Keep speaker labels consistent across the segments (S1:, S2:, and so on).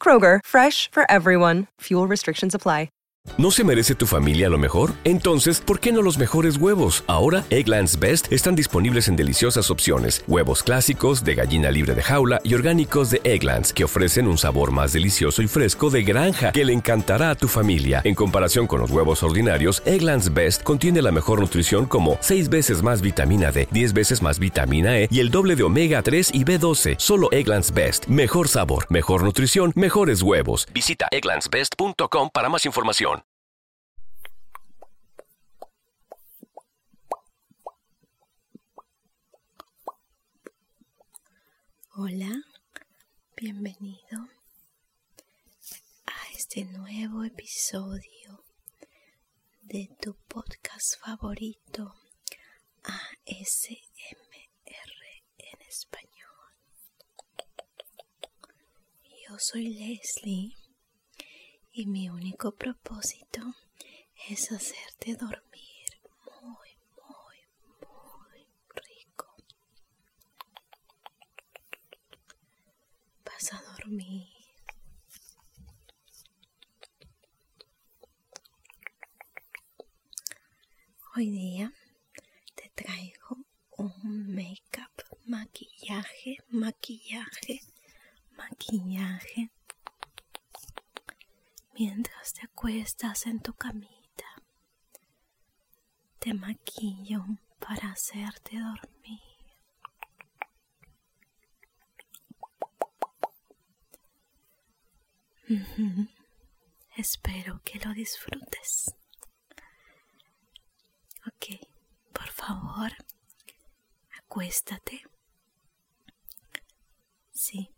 S1: Kroger, fresh for everyone. Fuel restrictions apply.
S2: ¿No se merece tu familia lo mejor? Entonces, ¿por qué no los mejores huevos? Ahora, Egglands Best están disponibles en deliciosas opciones: huevos clásicos, de gallina libre de jaula y orgánicos de Egglands, que ofrecen un sabor más delicioso y fresco de granja que le encantará a tu familia. En comparación con los huevos ordinarios, Egglands Best contiene la mejor nutrición como 6 veces más vitamina D, 10 veces más vitamina E y el doble de omega 3 y B12. Solo Egglands Best. Mejor sabor, mejor nutrición, mejores huevos. Visita egglandsbest.com para más información.
S1: Hola, bienvenido a este nuevo episodio de tu podcast favorito ASMR en español. Yo soy Leslie y mi único propósito es hacerte dormir muy, muy, muy rico. Vas a dormir Hoy día te traigo un make-up, maquillaje, maquillaje, maquillaje. Mientras te acuestas en tu camita, te maquillo para hacerte dormir. Espero que lo disfrutes. Ok, por favor, acuéstate. Sí,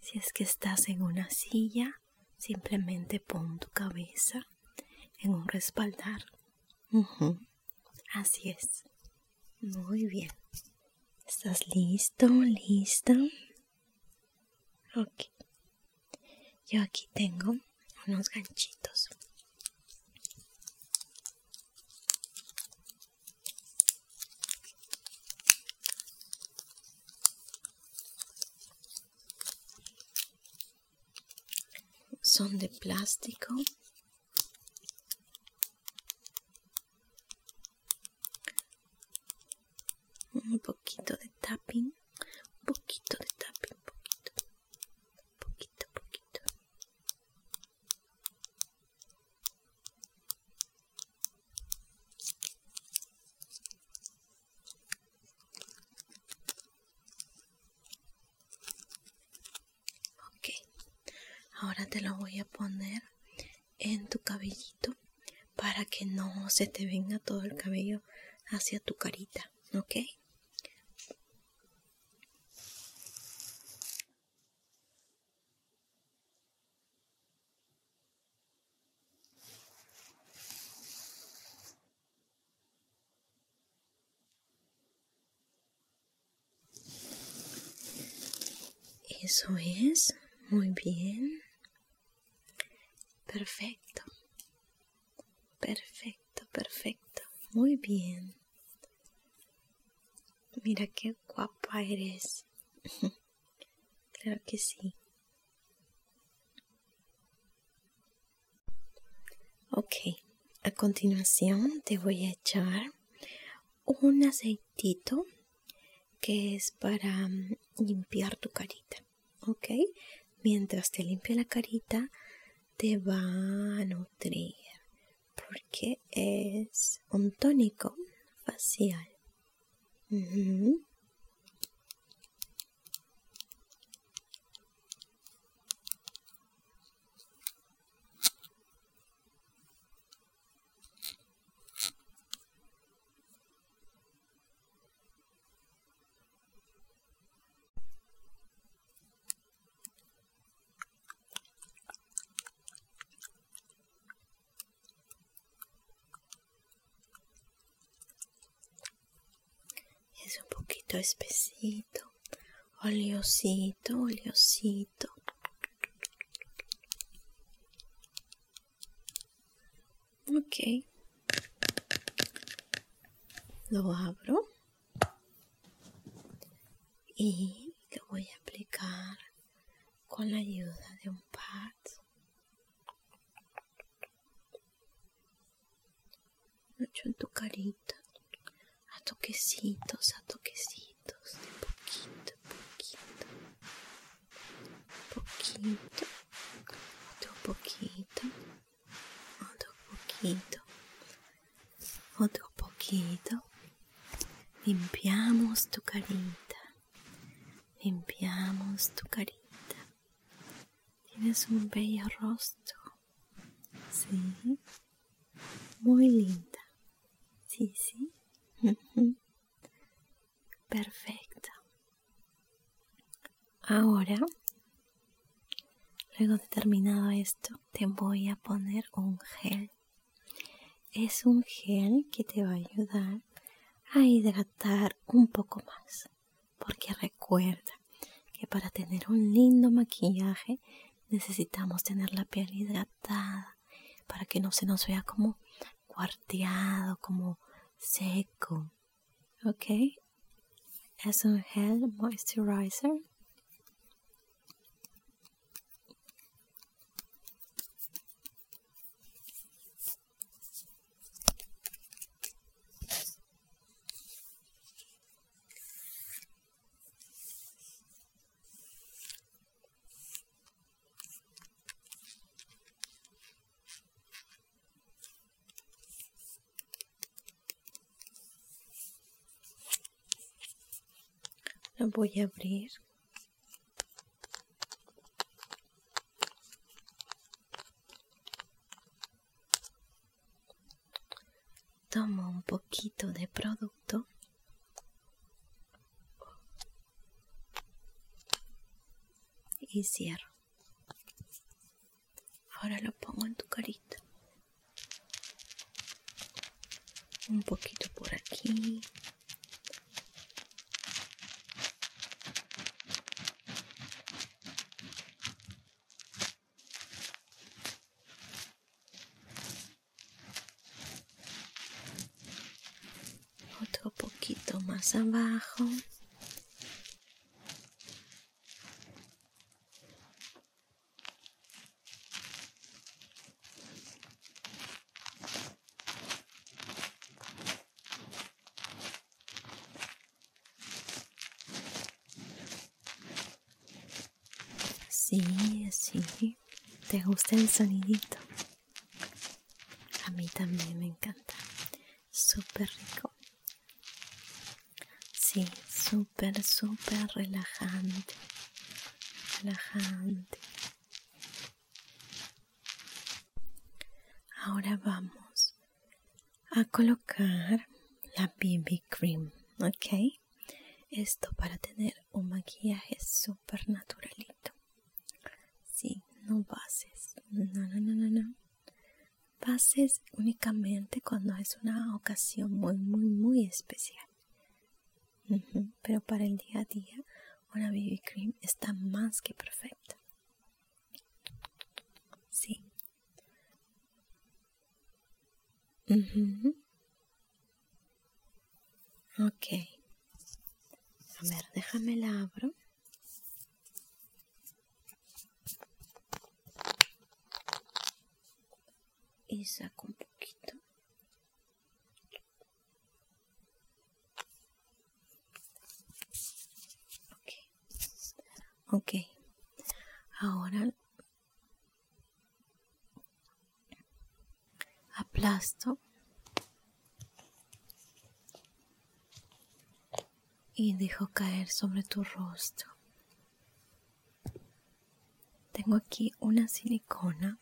S1: si es que estás en una silla, simplemente pon tu cabeza en un respaldar. Así es. Muy bien. ¿Estás listo? listo? Ok. Yo aquí tengo unos ganchitos. Son de plástico un poquito de tapping. Un poquito de tapping. Poquito. Poquito, poquito. Ok, ahora te lo voy a poner en tu cabellito para que no se te venga todo el cabello hacia tu carita, ¿ok? Eso es, muy bien. Perfecto. Perfecto, perfecto. Muy bien. Mira qué guapa eres. claro que sí. Ok, a continuación te voy a echar un aceitito que es para mm, limpiar tu carita, ¿ok? Mientras te limpia la carita, te va a nutrir porque es un tónico facial. Es un poquito espesito. Oleosito, oleosito. Ok. Lo abro. Y lo voy a aplicar con la ayuda de un pad. Mucho en tu carita a toquecitos, a toquecitos, de poquito, poquito, poquito, otro poquito, otro poquito, otro poquito. Limpiamos tu carita, limpiamos tu carita. Tienes un bello rostro, sí, muy linda. Sí, sí. Perfecto. Ahora, luego de terminado esto, te voy a poner un gel. Es un gel que te va a ayudar a hidratar un poco más. Porque recuerda que para tener un lindo maquillaje necesitamos tener la piel hidratada para que no se nos vea como cuarteado, como seco. ¿Ok? Es un gel moisturizer. La voy a abrir tomo un poquito de producto y cierro. Ahora lo pongo en tu carita. Un poquito por aquí otro poquito más abajo Sí, sí. ¿Te gusta el sonidito? A mí también me encanta. Súper rico. Sí, super súper relajante. Relajante. Ahora vamos a colocar la BB cream, ¿ok? Esto para tener un maquillaje super naturalito. Sí, no bases. No, no, no, no, Bases únicamente cuando es una ocasión muy, muy, muy especial. Pero para el día a día, una BB cream está más que perfecta. Sí mhm Ok. A ver, déjame la abro. Y saco un poquito. okay Ok. Ahora aplasto y dejo caer sobre tu rostro. Tengo aquí una silicona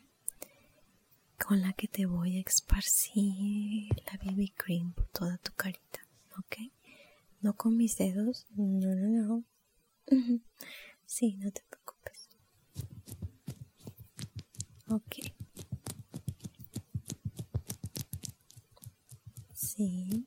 S1: con la que te voy a esparcir la BB cream por toda tu carita, ¿ok? No con mis dedos, no, no, no, Sí, no te preocupes. Ok. Sí.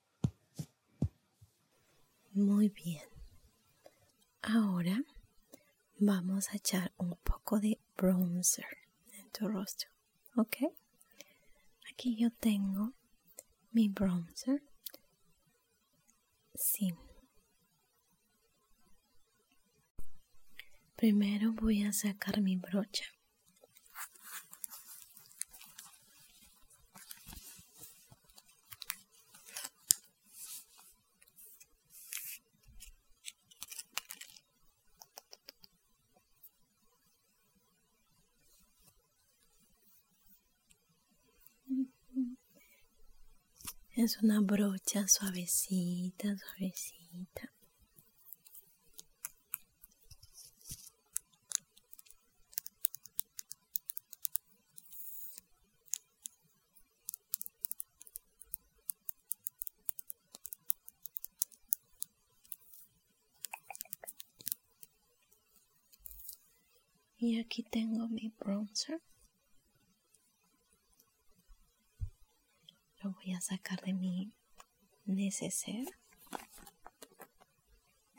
S1: Muy bien. Ahora vamos a echar un poco de bronzer en tu rostro, ¿ok? Aquí yo tengo mi bronzer. Sí. Primero voy a sacar mi brocha. Es una brocha suavecita, suavecita. Y aquí tengo mi bronzer. Lo voy a sacar de mi neceser.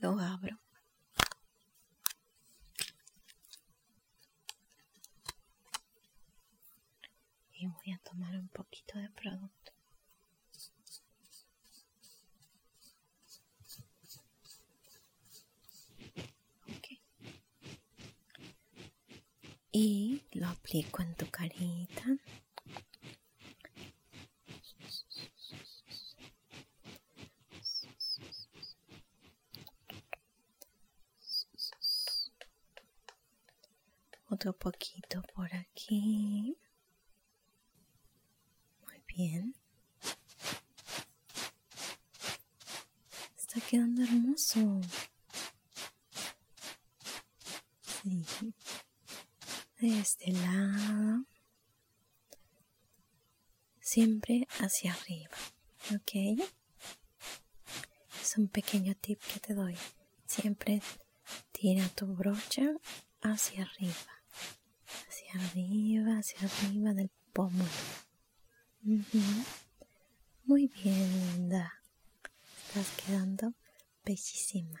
S1: Lo abro. Y voy a tomar un poquito de producto. Y lo aplico en tu carita otro poquito por aquí. Muy bien. Está quedando hermoso. Sí. De este lado siempre hacia arriba, ¿ok? Es un pequeño tip que te doy. Siempre tira tu brocha hacia arriba, hacia arriba, hacia arriba del pómulo. Muy bien, linda. Estás quedando bellísima.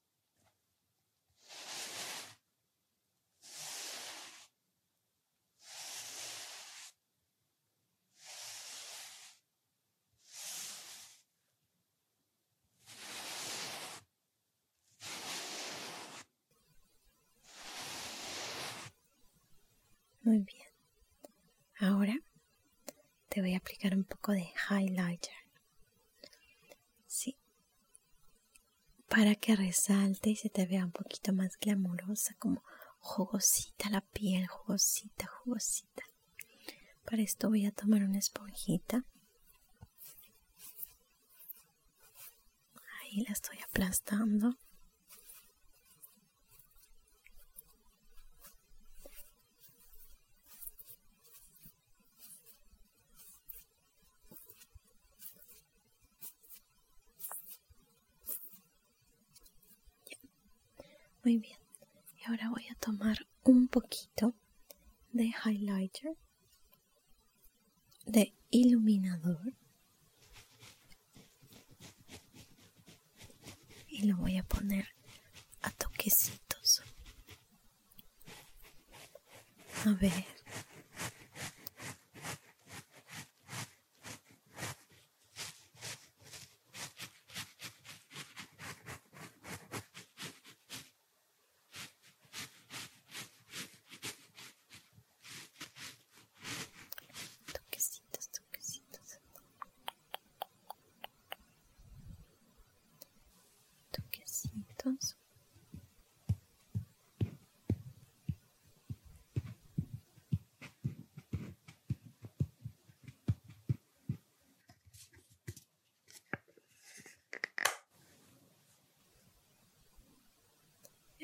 S1: Muy bien. Ahora te voy a aplicar un poco de highlighter. Sí, para que resalte y se te vea un poquito más glamurosa, como jugosita la piel, jugosita, jugosita. Para esto voy a tomar una esponjita. Ahí la estoy aplastando. Muy bien, y ahora voy a tomar un poquito de highlighter, de iluminador, y lo voy a poner a toquecitos a ver.
S2: Toquecitos, toquecitos. Toquecitos.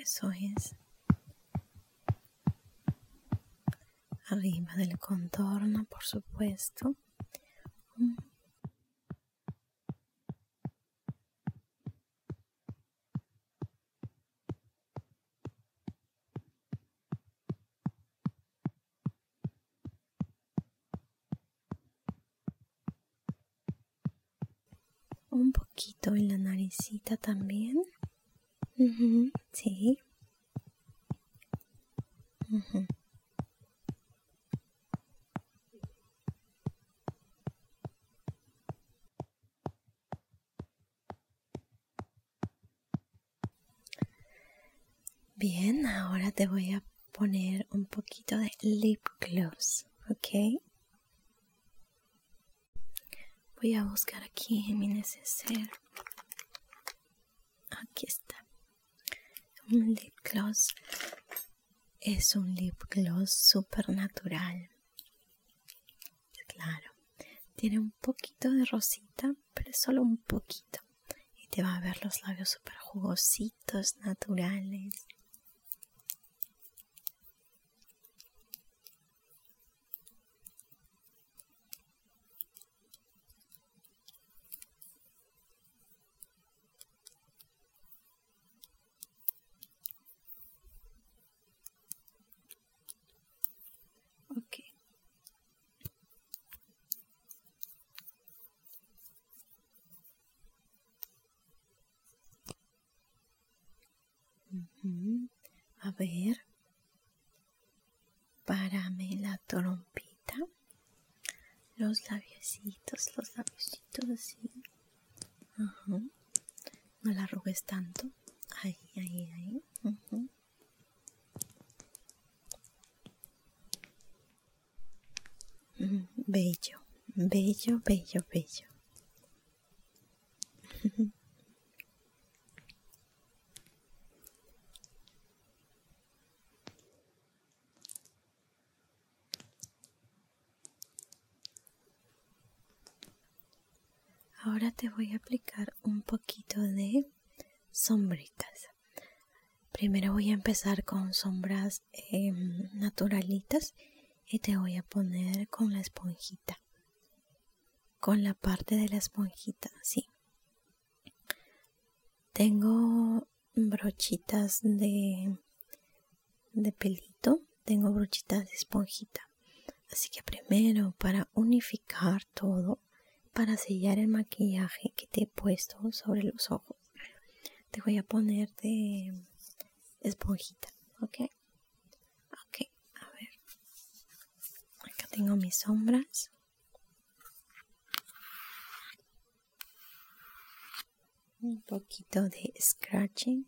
S1: Eso es. Arriba del contorno, por supuesto. Un poquito en la naricita también. sí. Bien, ahora te voy a poner un poquito de lip gloss, ¿ok? Voy a buscar aquí en mi neceser. Aquí está. Un lip gloss es un lip gloss super natural. Claro, tiene un poquito de rosita, pero solo un poquito. Y te va a ver los labios super jugositos, naturales. Okay. Mhm. A ver, párame la trompita. Los labiositos, los labiositos, así. Ajá. No la arrugues tanto. Ahí, ahí, ahí. Ajá. Mm, bello, bello, bello, bello. Ahora te voy a aplicar un poquito de sombritas. Primero voy a empezar con sombras em, naturalitas y te voy a poner con la esponjita. Con la parte de la esponjita, sí. Tengo brochitas de, de pelito, tengo brochitas de esponjita. Así que primero para unificar todo, para sellar el maquillaje que te he puesto sobre los ojos, te voy a poner de esponjita, ¿ok? Ok, a ver. Acá tengo mis sombras un poquito de scratching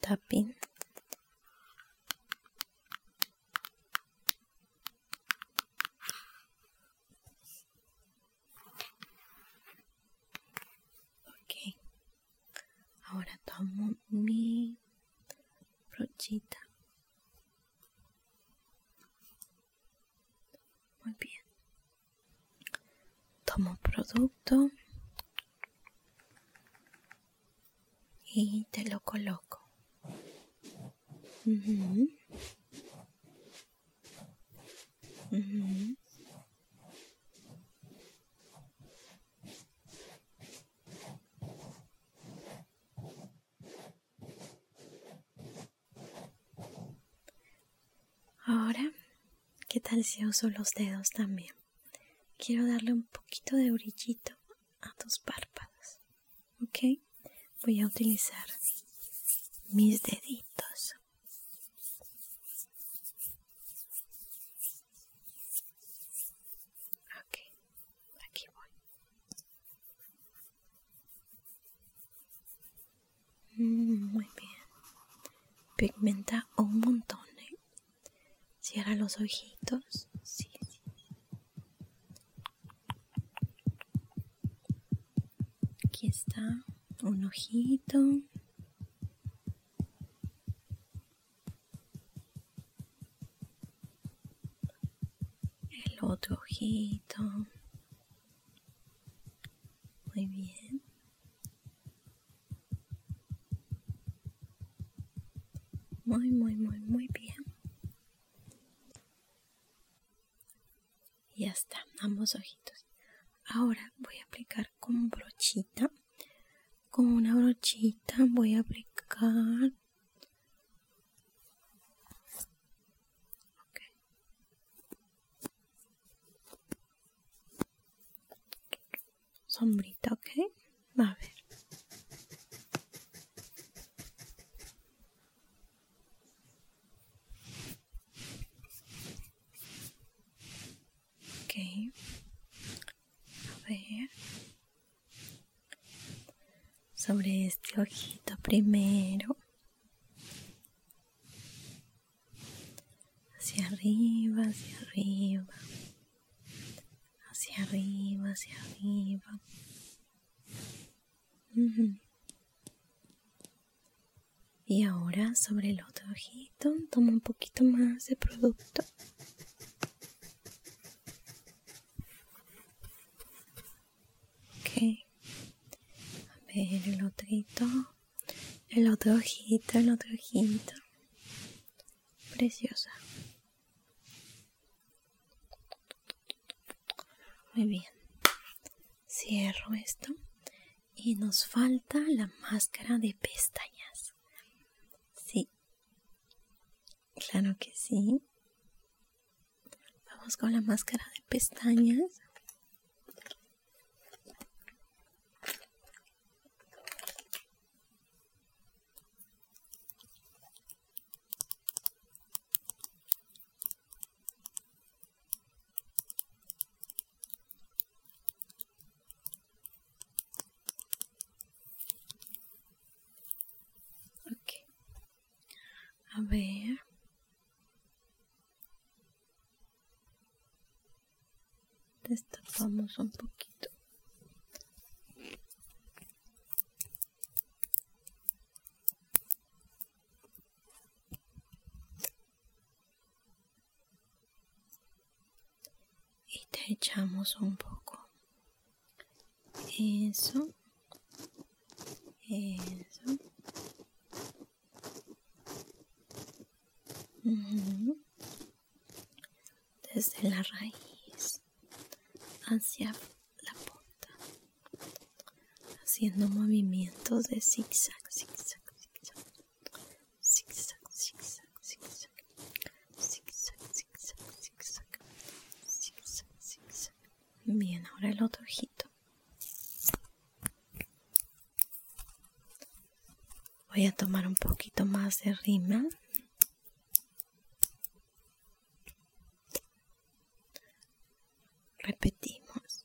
S1: tapping okay Ahora tomo mi brochita. Muy bien. Tomo producto y te lo coloco. Ahora, ¿qué tal si uso los dedos también? Quiero darle un poquito de orillito a tus párpados. ¿Ok? Voy a utilizar mis deditos.
S2: Aquí, aquí voy.
S1: Mm, muy bien. Pigmenta un montón. ¿eh? Cierra los ojitos. Aquí está un ojito. El otro ojito. Muy bien. Muy, muy, muy, muy bien. Ya está, ambos ojitos. Ahora voy a aplicar con brochita. Con una brochita voy a aplicar sombrita, ¿ok? A ver. Sobre este ojito primero. Hacia arriba, hacia arriba. Hacia arriba, hacia arriba. Y ahora sobre el otro ojito toma un poquito más de producto. Ok. A ver, el ojito El otro ojito, el otro ojito. Preciosa. Muy bien. Cierro esto y nos falta la máscara de pestañas. Sí. Claro que sí. Vamos con la máscara de pestañas. Okay. A ver. Destapamos un poquito y te echamos un poco. Eso. Eso. Desde la raíz hacia la punta. Haciendo movimientos de zigzag, zigzag, zigzag. Bien, ahora el otro ojito. Voy a tomar un poquito más de rima Repetimos.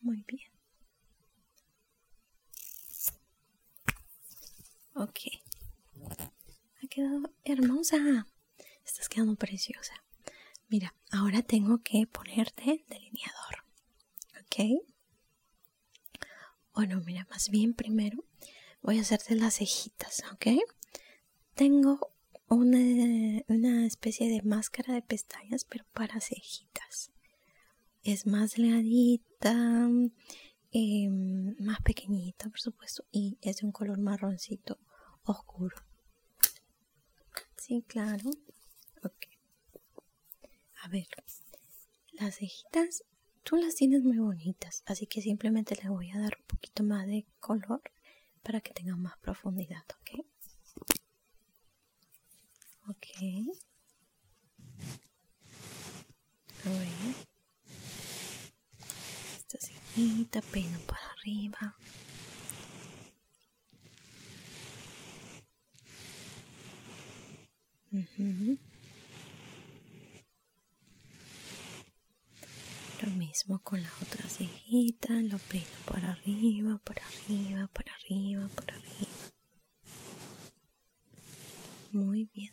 S1: Muy bien. Ok. Ha quedado hermosa. Estás quedando preciosa. Mira, ahora tengo que ponerte delineador. ¿Ok? Bueno, mira, más bien primero voy a hacerte las cejitas, ¿ok? Tengo una, especie de máscara de pestañas, pero para cejitas. Es más delgadita, em, más pequeñita, por supuesto, y es de un color marroncito oscuro. Sí, claro. Ok. A ver, las cejitas tú las tienes muy bonitas, así que simplemente les voy a dar un poquito más de color para que tengan más profundidad, ¿ok? Okay, Esta cejita, pelo para arriba. Lo mismo con la otra cejita, lo pelo para arriba, por arriba, por arriba, por arriba. Muy bien.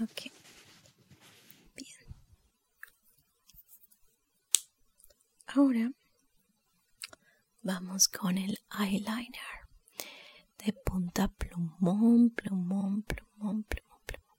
S1: Ok. Bien. Ahora vamos con el eyeliner. De punta plumón, plumón, plumón, plumón, plumón. plumón.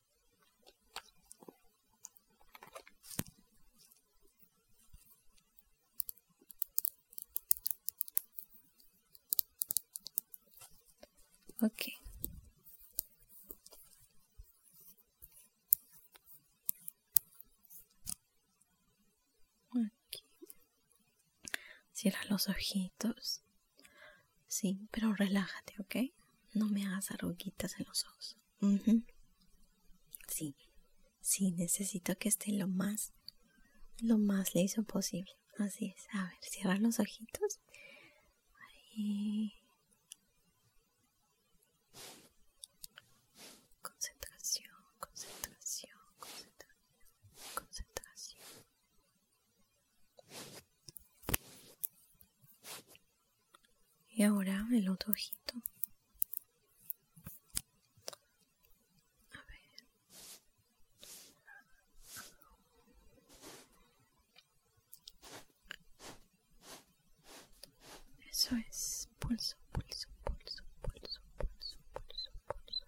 S1: Okay. Cierra los ojitos. Sí, pero relájate, ¿ok? No me hagas arruguitas en los ojos. Sí, sí, necesito que esté lo más, lo más liso posible. Así es. A ver, cierra los ojitos.
S2: Concentración, concentración, concentración, concentración.
S1: Y ahora el otro ojito. A ver.
S2: Eso es pulso, pulso, pulso, pulso, pulso, pulso, pulso, pulso, pulso, pulso.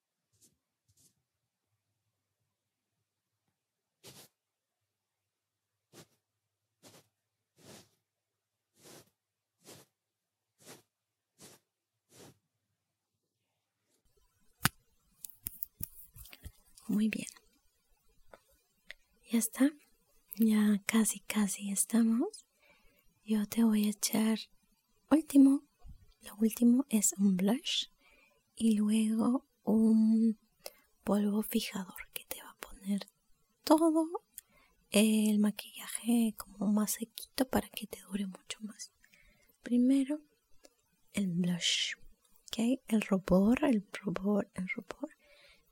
S1: Muy bien. Ya está. Ya casi, casi estamos. Yo te voy a echar último. Lo último es un blush y luego un polvo fijador que te va a poner todo el maquillaje como más sequito para que te dure mucho más. Primero, el blush. ¿okay? El rubor, el rubor, el rubor.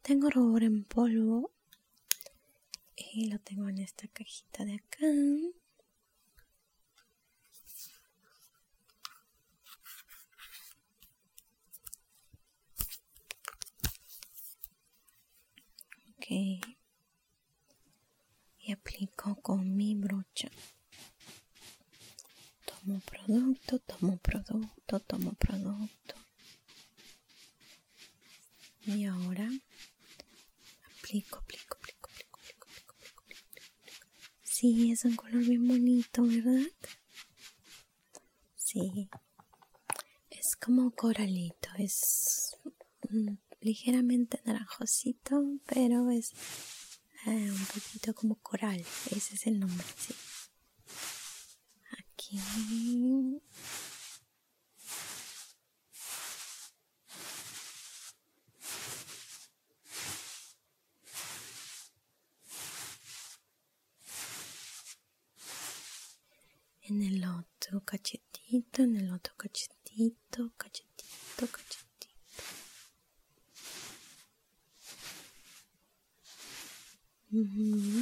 S1: Tengo rubor en polvo y lo tengo en esta cajita de acá. Ok. Y aplico con mi brocha. Tomo producto, tomo producto, tomo producto. Y ahora aplico, aplico, aplico, aplico, aplico, aplico, aplico, Sí, es un color bien bonito, ¿verdad? Sí. Es como coralito, es ligeramente naranjosito, pero es eh, un poquito como coral. Ese es el nombre, sí. Aquí. e nell'otto caccettito, nell'otto caccettito, caccettito, caccettito. Mm-hmm.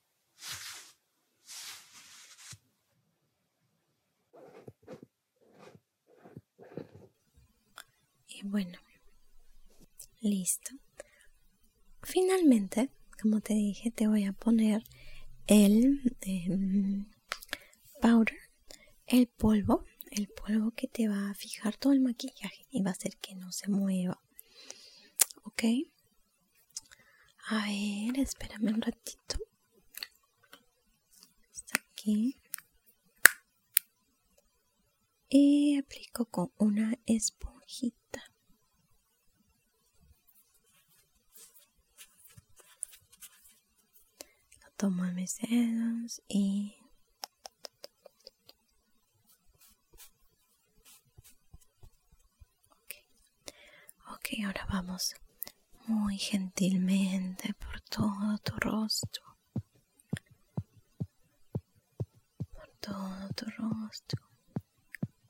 S1: Y bueno, listo. Finalmente, como te dije, te voy a poner el em, powder, el polvo, el polvo que te va a fijar todo el maquillaje y va a hacer que no se mueva. ¿Ok? A ver, espérame un ratito. aquí. Y aplico con una esponjita. Lo tomo a mis dedos y Ok, okay ahora vamos muy gentilmente por todo tu rostro. Por todo tu rostro.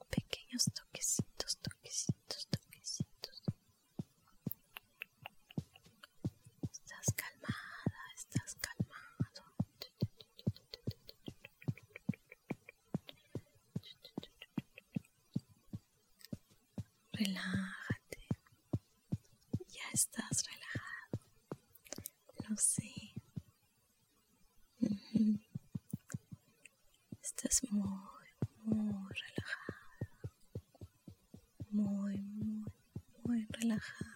S1: Pequeños toquecitos, toquecitos,
S2: toquecitos. Estás calmada, estás calmado.
S1: Relájate. Ya estás relajado. Lo sé. Estás muy, muy relajado. Muy, muy, muy relajado.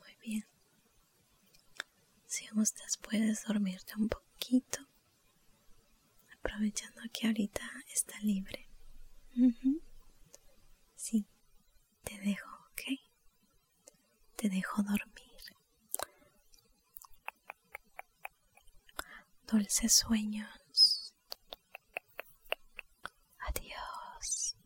S1: Muy bien. Si gustas puedes dormirte un poquito aprovechando que ahorita está libre. Si Sí, te dejo, okay Te dejo dormir. Dulces sueños. Adiós.